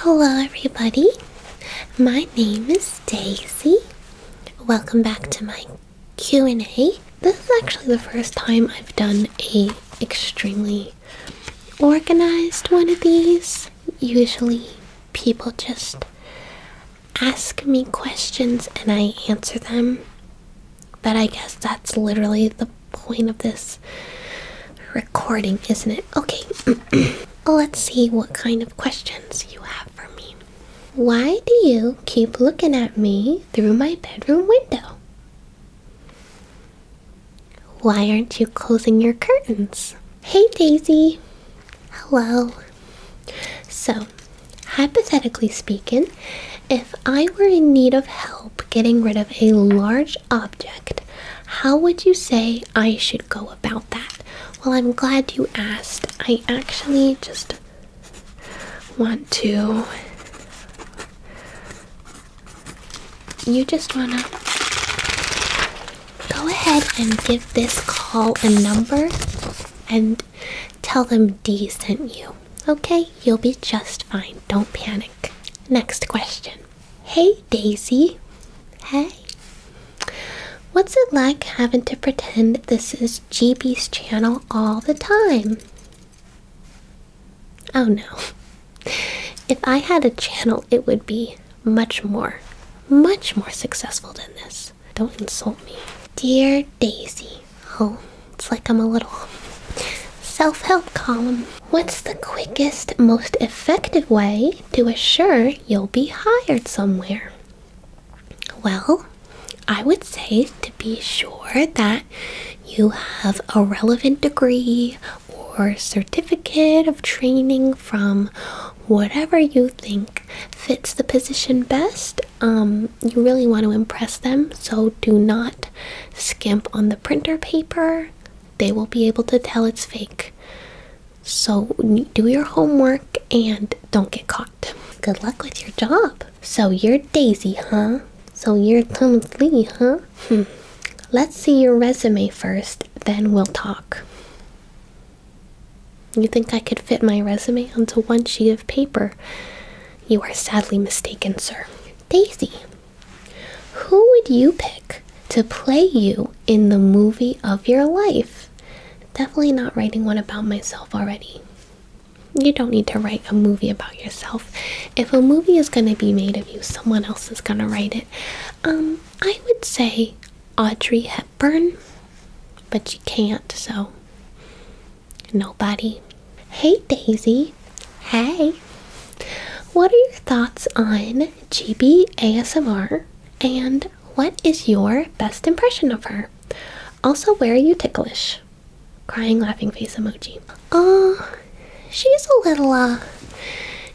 Hello, everybody. My name is Daisy. Welcome back to my Q&A. This is actually the first time I've done a extremely organized one of these. Usually, people just ask me questions and I answer them. But I guess that's literally the point of this recording, isn't it? Okay, let's see what kind of questions you have for me. Why do you keep looking at me through my bedroom window? Why aren't you closing your curtains? Hey Daisy! Hello. So, hypothetically speaking, if I were in need of help getting rid of a large object how would you say I should go about that? Well, I'm glad you asked. I actually just want to. You just want to go ahead and give this call a number and tell them D sent you. Okay, you'll be just fine. Don't panic. Next question. Hey, Daisy. Hey. What's it like having to pretend this is GB's channel all the time? Oh no. If I had a channel, it would be much more, much more successful than this. Don't insult me. Dear Daisy. Oh, it's like I'm a little self help column. What's the quickest, most effective way to assure you'll be hired somewhere? Well, I would say to be sure that you have a relevant degree or certificate of training from whatever you think fits the position best. Um, you really want to impress them, so do not skimp on the printer paper they will be able to tell it's fake. So do your homework and don't get caught. Good luck with your job. So you're Daisy, huh? So you're Thomas Lee, huh? Hmm. Let's see your resume first, then we'll talk. You think I could fit my resume onto one sheet of paper? You are sadly mistaken, sir. Daisy, who would you pick to play you in the movie of your life? Definitely not writing one about myself already. You don't need to write a movie about yourself. If a movie is going to be made of you, someone else is going to write it. Um, I would say Audrey Hepburn, but you can't, so nobody. Hey Daisy, Hey, what are your thoughts on GB ASMR and what is your best impression of her? Also, where are you ticklish? Crying laughing face emoji. Oh, uh, she's a little, uh,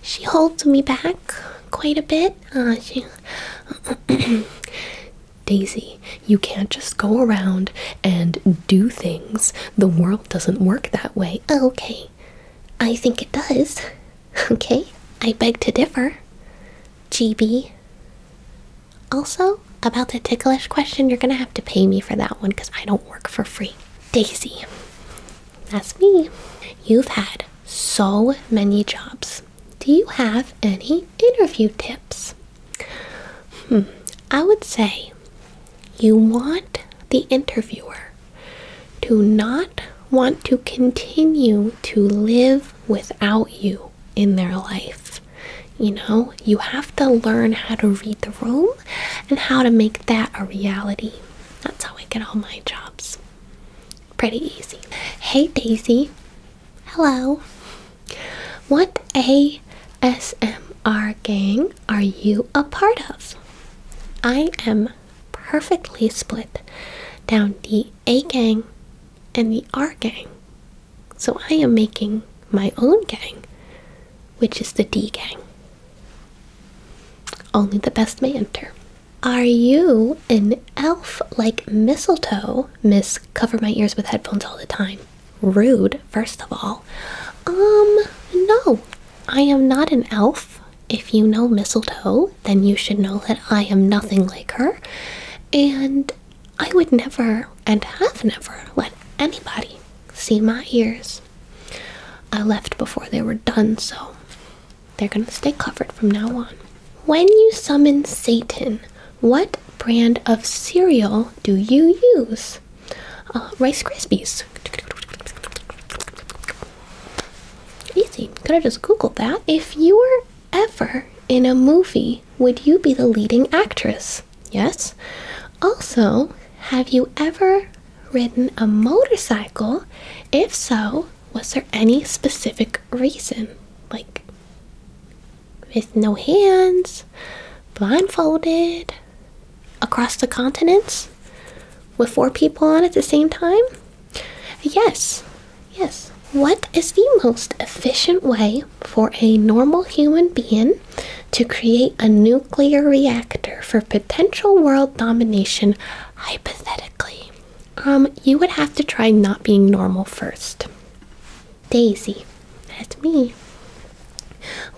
she holds me back quite a bit. Uh, she. Daisy, you can't just go around and do things. The world doesn't work that way. Okay, I think it does. Okay, I beg to differ. GB. Also, about the ticklish question, you're gonna have to pay me for that one because I don't work for free. Daisy. That's me. You've had so many jobs. Do you have any interview tips? Hmm, I would say you want the interviewer to not want to continue to live without you in their life. You know, you have to learn how to read the room and how to make that a reality. That's how I get all my jobs. Pretty easy. Hey Daisy. Hello. What ASMR gang? are you a part of? I am perfectly split down the A gang and the R gang. So I am making my own gang, which is the D gang. Only the best may enter. Are you an elf like mistletoe, Miss Cover My Ears with Headphones All the Time? Rude first of all. Um, no, I am not an elf. If you know Mistletoe, then you should know that I am nothing like her. And I would never and have never let anybody see my ears. I left before they were done, so they're going to stay covered from now on. When you summon Satan, what brand of cereal do you use? Uh, Rice Krispies. Easy. Could I just Google that. If you were ever in a movie, would you be the leading actress? Yes. Also, have you ever ridden a motorcycle? If so, was there any specific reason? Like with no hands, blindfolded, across the continents with four people on at the same time? Yes, yes. What is the most efficient way for a normal human being to create a nuclear reactor for potential world domination hypothetically? Um, you would have to try not being normal first. Daisy, that's me.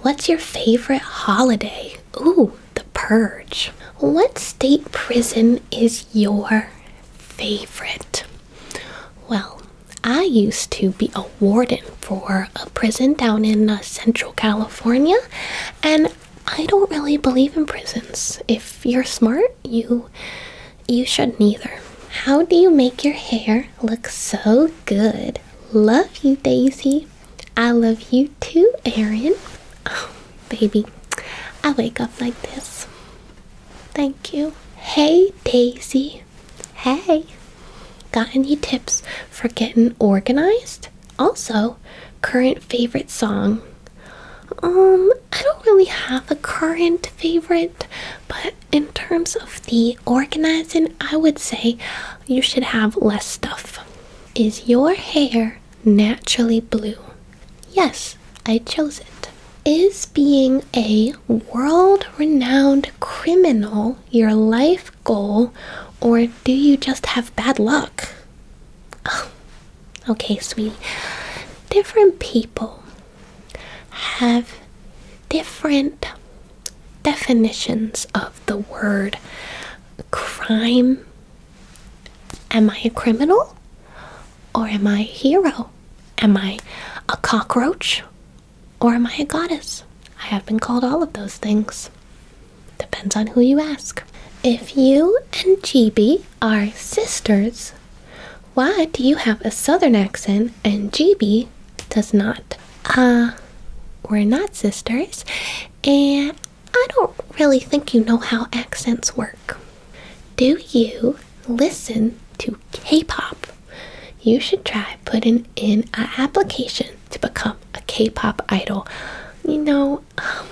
What's your favorite holiday? Ooh, the purge. What state prison is your favorite? Well, I used to be a warden for a prison down in uh, Central California, and I don't really believe in prisons. If you're smart, you you should neither. How do you make your hair look so good? Love you, Daisy. I love you too, Aaron. Oh, baby, I wake up like this. Thank you. Hey, Daisy. Hey. Got any tips for getting organized? Also, current favorite song. Um, I don't really have a current favorite, but in terms of the organizing, I would say you should have less stuff. Is your hair naturally blue? Yes, I chose it. Is being a world renowned criminal your life goal, or do you just have bad luck? okay, sweetie. Different people have different definitions of the word crime. Am I a criminal or am I a hero? Am I a cockroach or am I a goddess? I have been called all of those things. Depends on who you ask. If you and GB are sisters, why do you have a southern accent and GB does not. Uh, we're not sisters, and I don't really think you know how accents work. Do you listen to K pop? You should try putting in an application to become a K pop idol. You know, um,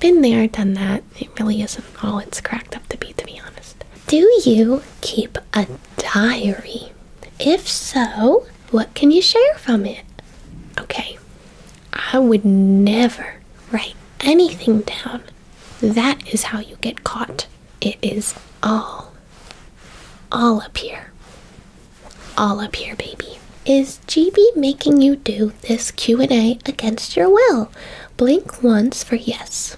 been there, done that. It really isn't all it's cracked up to be, to be honest. Do you keep a diary? If so, what can you share from it? Okay, I would never write anything down. That is how you get caught. It is all, all up here. All up here, baby. Is GB making you do this Q&A against your will? Blink once for yes.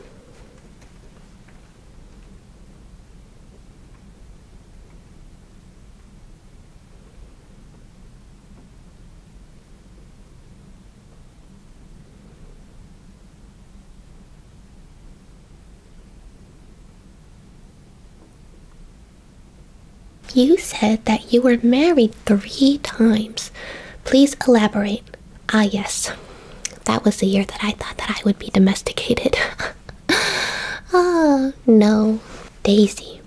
You said that you were married three times. Please elaborate. Ah, yes. That was the year that I thought that I would be domesticated. Ah, no, Daisy.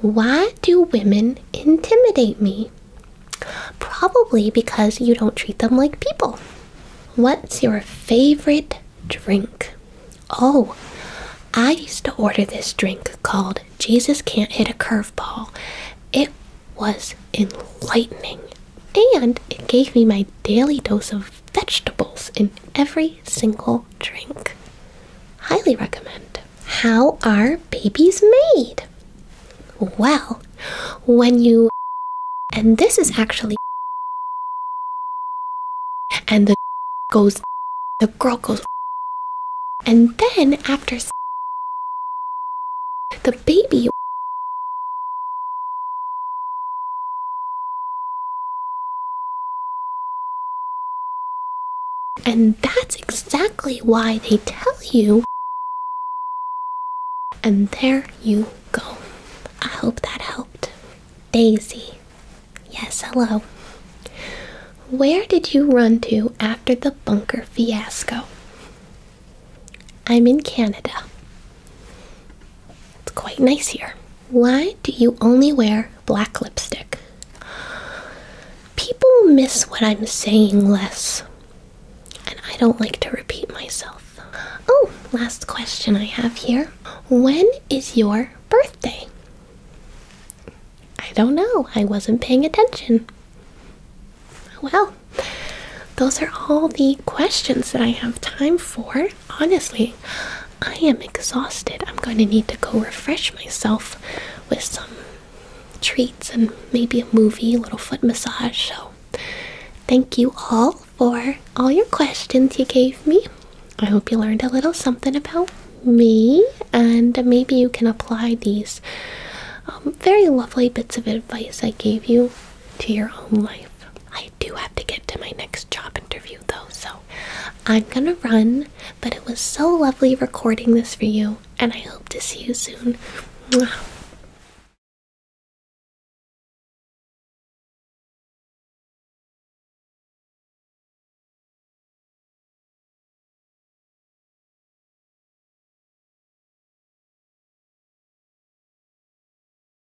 Why do women intimidate me? Probably because you don't treat them like people. What's your favorite drink? Oh, I used to order this drink called Jesus Can't Hit a Curveball. It was enlightening and it gave me my daily dose of vegetables in every single drink. Highly recommend. How are babies made? Well, when you and this is actually and the goes the girl goes and then after the baby and that's exactly why they tell you. And there you go. I hope that helped. Daisy. Yes, hello. Where did you run to after the bunker fiasco? I'm in Canada. It's quite nice here. Why do you only wear black lipstick? People miss what I'm saying less, and I don't like to repeat myself. Oh, last question I have here. When is your birthday? I don't know. I wasn't paying attention. Well, those are all the questions that I have time for honestly, I am exhausted. I'm going to need to go refresh myself with some treats and maybe a movie, a little foot massage. So, thank you all for all your questions you gave me. I hope you learned a little something about me, and maybe you can apply these um, very lovely bits of advice I gave you to your own life do have to get to my next job interview though, so I'm gonna run. But it was so lovely recording this for you, and I hope to see you soon.